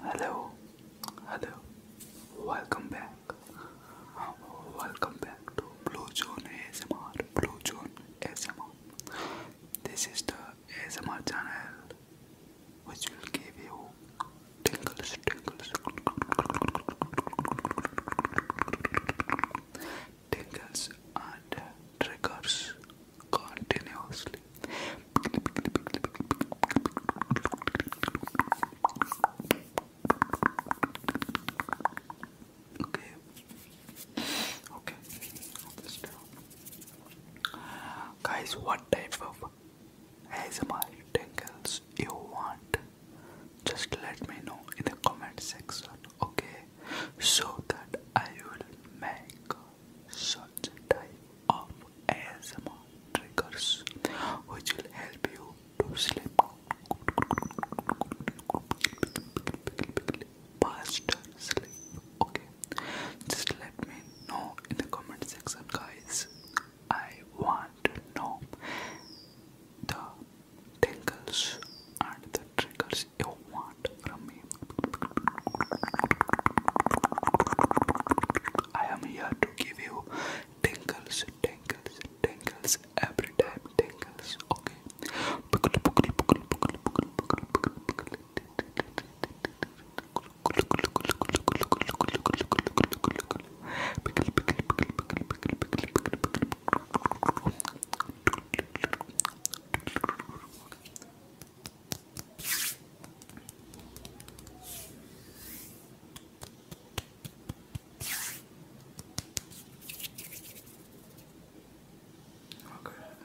Hello, hello, welcome back. Welcome back to Blue Zone ASMR. Blue Zone ASMR. This is the ASMR channel which will give you tingles, tingles, tingles and triggers continuously. Okay. Okay. Guys, what type of ASMR tingles you want? just let me know in the comment section okay so that I will make such type of ASMR triggers which will help you to sleep faster sleep okay just let me know in the comment section guys I want to the tingles and the triggers you want from me. I am here to give you tingles, tingles, tingles every time. Tingles, okay. Okay,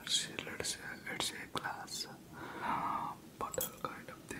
see, let's say it's a glass bottle kind of thing.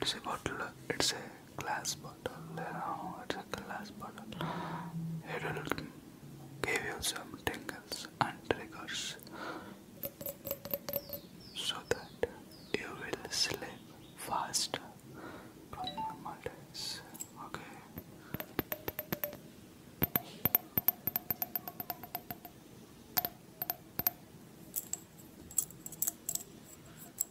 It's a bottle. It's a glass bottle. No, it's a glass bottle. It will give you some tingles and triggers so that you will sleep faster from normal days. Okay.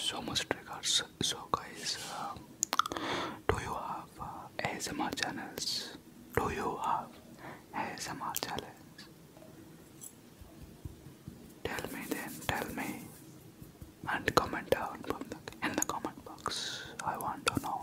So much triggers. So guys, uh, do you have uh, ASMR channels? Do you have ASMR channels? Tell me then, tell me and comment down in the comment box. I want to know.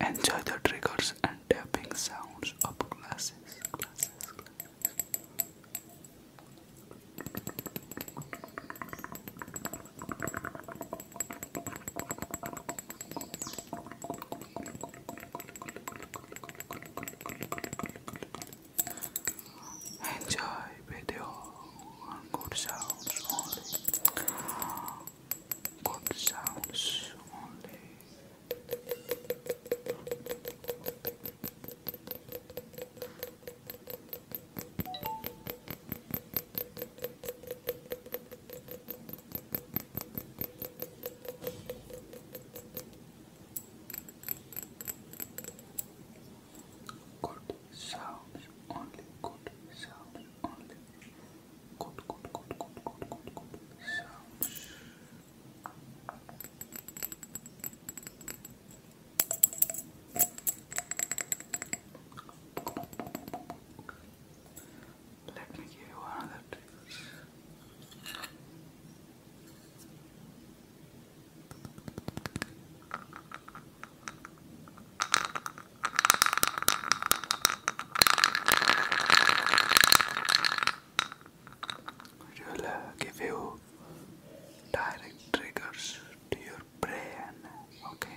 Enjoy the triggers and tapping sounds of glasses. Enjoy video and good sounds only. Good sounds only, good sounds only good, Let me give you another trick. It will uh, give you direct triggers to your brain. Okay.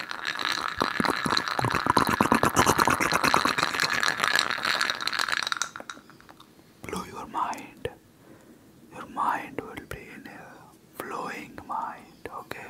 Blow your mind. Your mind will be in a flowing mind, okay?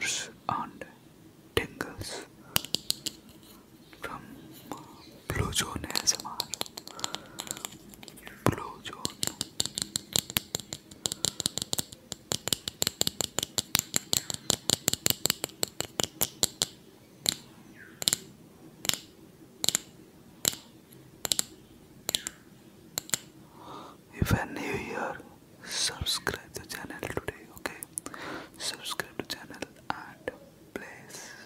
triggers and tingles from Blue Zone ASMR. Blue Zone. If you're new subscribe to channel today, okay? Subscribe to channel and please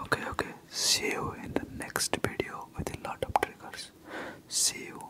Okay, okay. See you in the next video with a lot of triggers. See you.